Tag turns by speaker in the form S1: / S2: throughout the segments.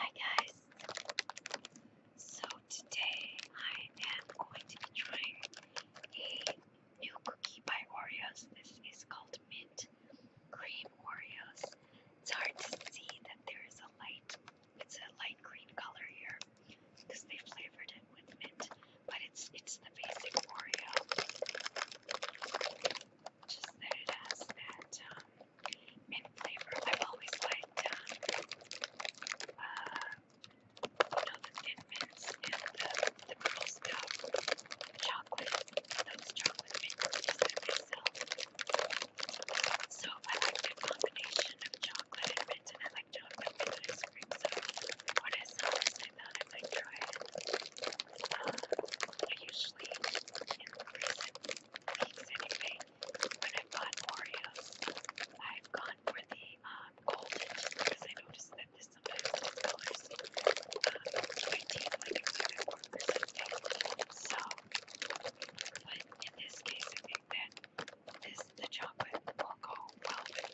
S1: Hi guys. So today I am going to be trying a new cookie by Oreos. This is called Mint Cream Oreos. It's hard to see that there is a light. It's a light green color here because they flavored it with mint, but it's it's the basic Oreo. Just that it has um, mint flavor. I've always liked um, uh, you know, the thin and the, the little chocolate, those chocolate mints myself. So I like the combination of chocolate and mint, and I like chocolate mint ice cream. So when I saw this, I thought I might try it. I usually, in recent weeks anyway, when I've bought Oreos, I've gone for the um, golden because I noticed that this sometimes colors um, to like it's when I work or So, in this case, I think that this, the chocolate will go well with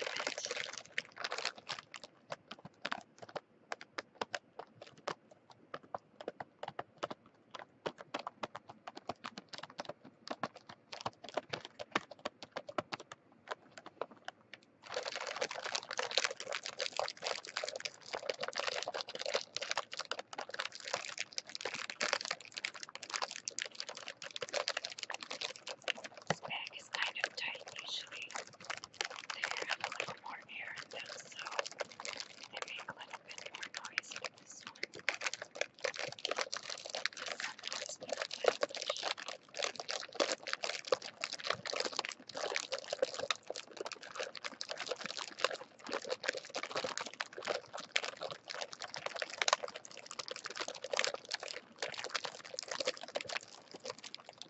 S1: this bag is kind of tight usually. There, I'm going bit more air in them, so they make a little bit more noise with this one. Sometimes we don't have the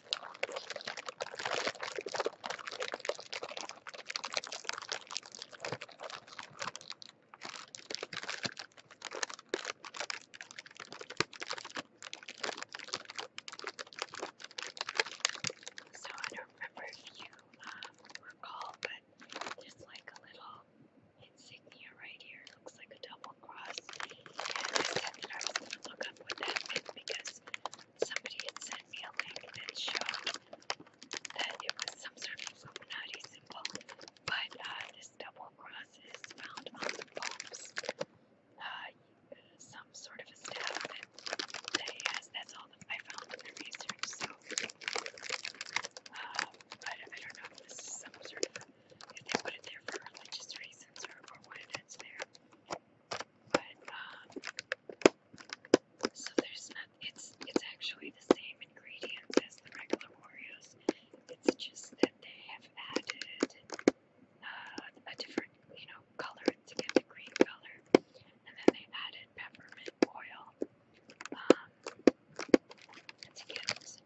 S1: So I don't remember if you uh, recall, but there's like a little insignia right here. looks like a double cross. And I said that going to look up what that because somebody had sent me a link that showed that it was some sort of Illuminati symbol, but uh, this double cross is found on the Pope's, uh, some sort of a staff that, that he has. That's all that I found in the research, so, uh, but I don't know if this is some sort of, if they put it there for religious reasons or, or why that's there. Um, so there's not. It's it's actually the same ingredients as the regular Oreos. It's just that they have added uh, a different, you know, color to get the green color, and then they added peppermint oil um, to get taste.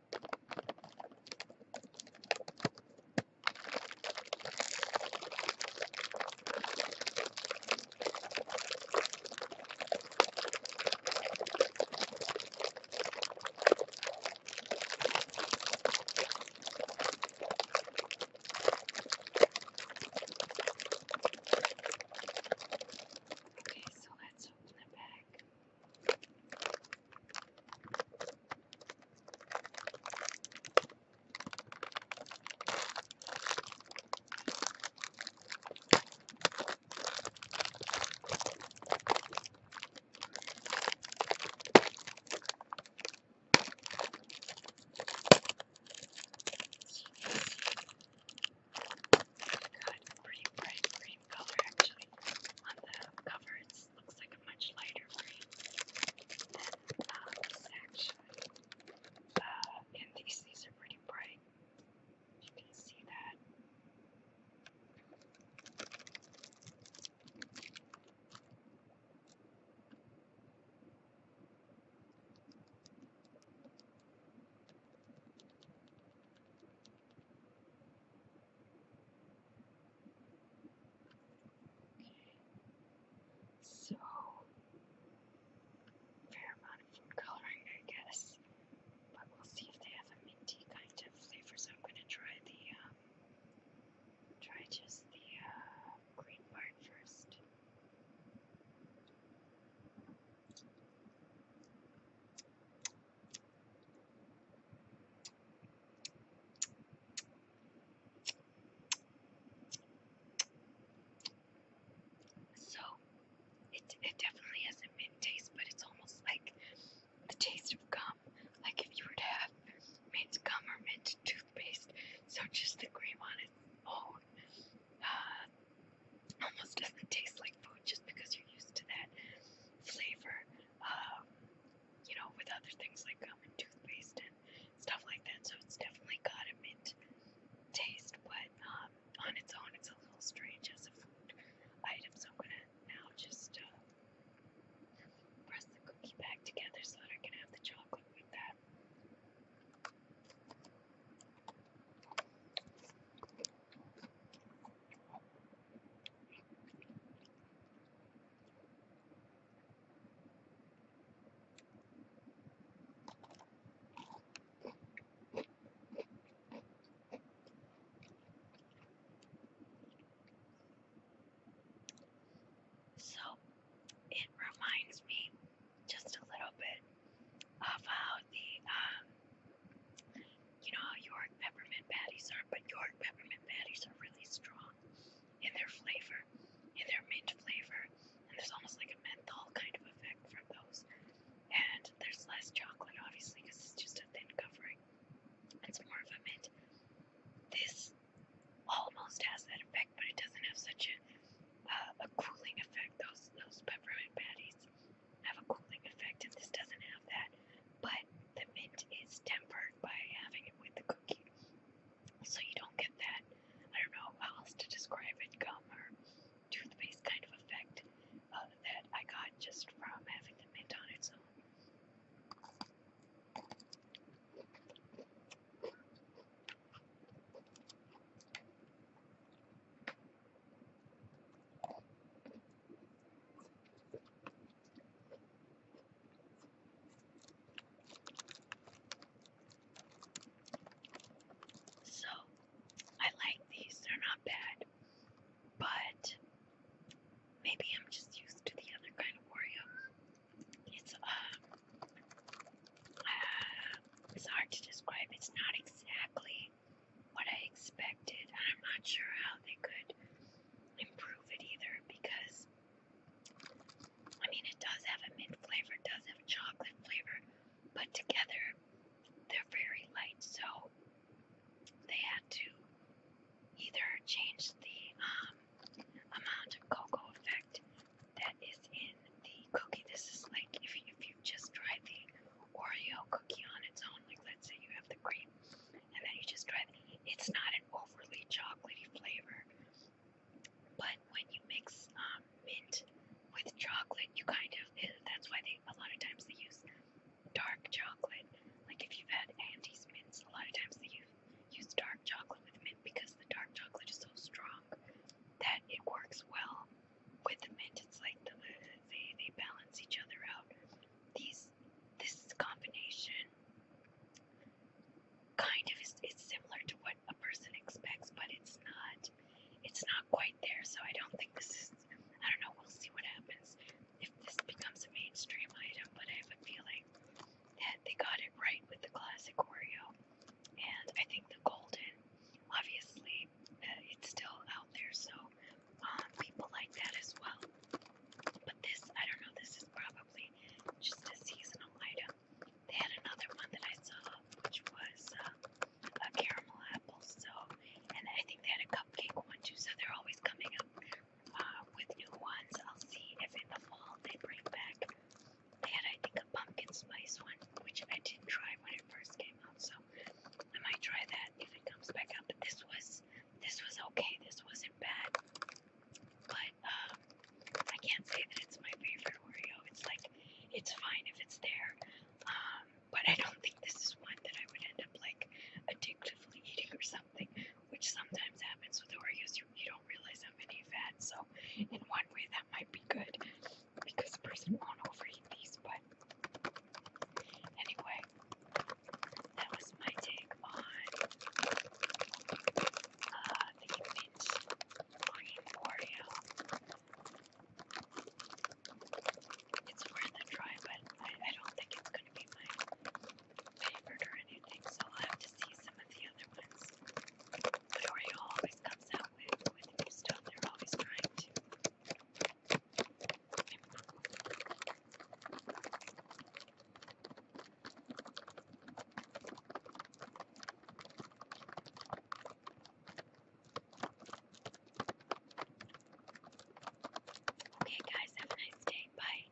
S1: Okay, so let's open it back. Good, pretty bright green color actually on the cover, it looks like a much lighter green uh, and these, these are pretty bright. You can see that. So, fair amount of food coloring, I guess. But we'll see if they have a minty kind of flavor. So I'm gonna try the um, try just the uh, green part first. So it it definitely has a mint taste, but it's almost like the taste of gum. Like if you were to have mint gum or mint toothpaste. So just the cream on its own uh, almost doesn't taste like food just because you're used to that flavor um, you know, with other things like gum and toothpaste and stuff like that. So it's definitely got a mint taste, but um, on its own, it's a little strange as a food item. So I'm gonna now just uh, press the cookie back together so that I can have the chocolate with that. So it reminds me just a little bit of how the um, you know how York peppermint patties are, but York peppermint patties are really strong in their flavor, in their mint flavor, and there's almost like a menthol kind of effect from those. And there's less chocolate, obviously, because it's just a thin covering. It's more of a mint. This almost has that effect, but it doesn't have such a uh, a cooling effect. Those those peppermint patties have a cooling effect, and this doesn't have that. But the mint is tempered by having it with the cookie, so you don't get that. I don't know how else to describe it, gum or toothpaste kind of effect uh, that I got just from having the mint on its own. So, I like these, they're not bad, but maybe I'm just used to the other kind of Oreo. It's, um, uh, it's hard to describe, it's not exactly what I expected. And I'm not sure how they could improve it either because, I mean, it does have a mint flavor, it does have a chocolate flavor, but together they're very light. So they had to either change the um, amount of cocoa effect that is in the cookie. This is like if you, if you you just try the Oreo cookie on its own, like let's say you have the cream, and then you just try the, it's not an overly chocolatey flavor, but when you mix um, mint with chocolate, you kind of, eh, that's why they, a lot of times they use dark chocolate. Like if you've had Andes mints, a lot of times they use, use dark chocolate with mint because the dark chocolate is so strong that it works well with mint, it's like they they balance each other out. These this combination kind of is it's similar to what a person expects, but it's not it's not quite there. So I don't think this is. I don't know. We'll see what happens if this becomes a mainstream item. But I have a feeling that they got it right with the classic Oreo, and I think the golden obviously uh, it's still out there, so um, people like that as well. But this, I don't know, this is probably just a seasonal item. They had another one that I saw, which was uh, a caramel apple, so, and I think they had a cupcake one too, so they're always coming up uh, with new ones. I'll see if in the fall they bring back. They had, I think, a pumpkin spice one, which I didn't try when it first came out, so I might try that if it comes back up. But this was this was okay. This wasn't bad. But um, I can't say that it's my favorite Oreo. It's like it's fine if it's there. Um, but I don't think this is one that I would end up like addictively eating or something, which sometimes happens with Oreos. You, you don't realize how many you've had. So in one way that might be good because a person won't overeat these, but Anyway, that was my take on uh, the mint green Oreo. It's worth a try, but I, I don't think it's going to be my favorite or anything, so I'll have to see some of the other ones. But Oreo always comes out with, with new stuff, they're always trying to Okay, guys, have a nice day. Bye.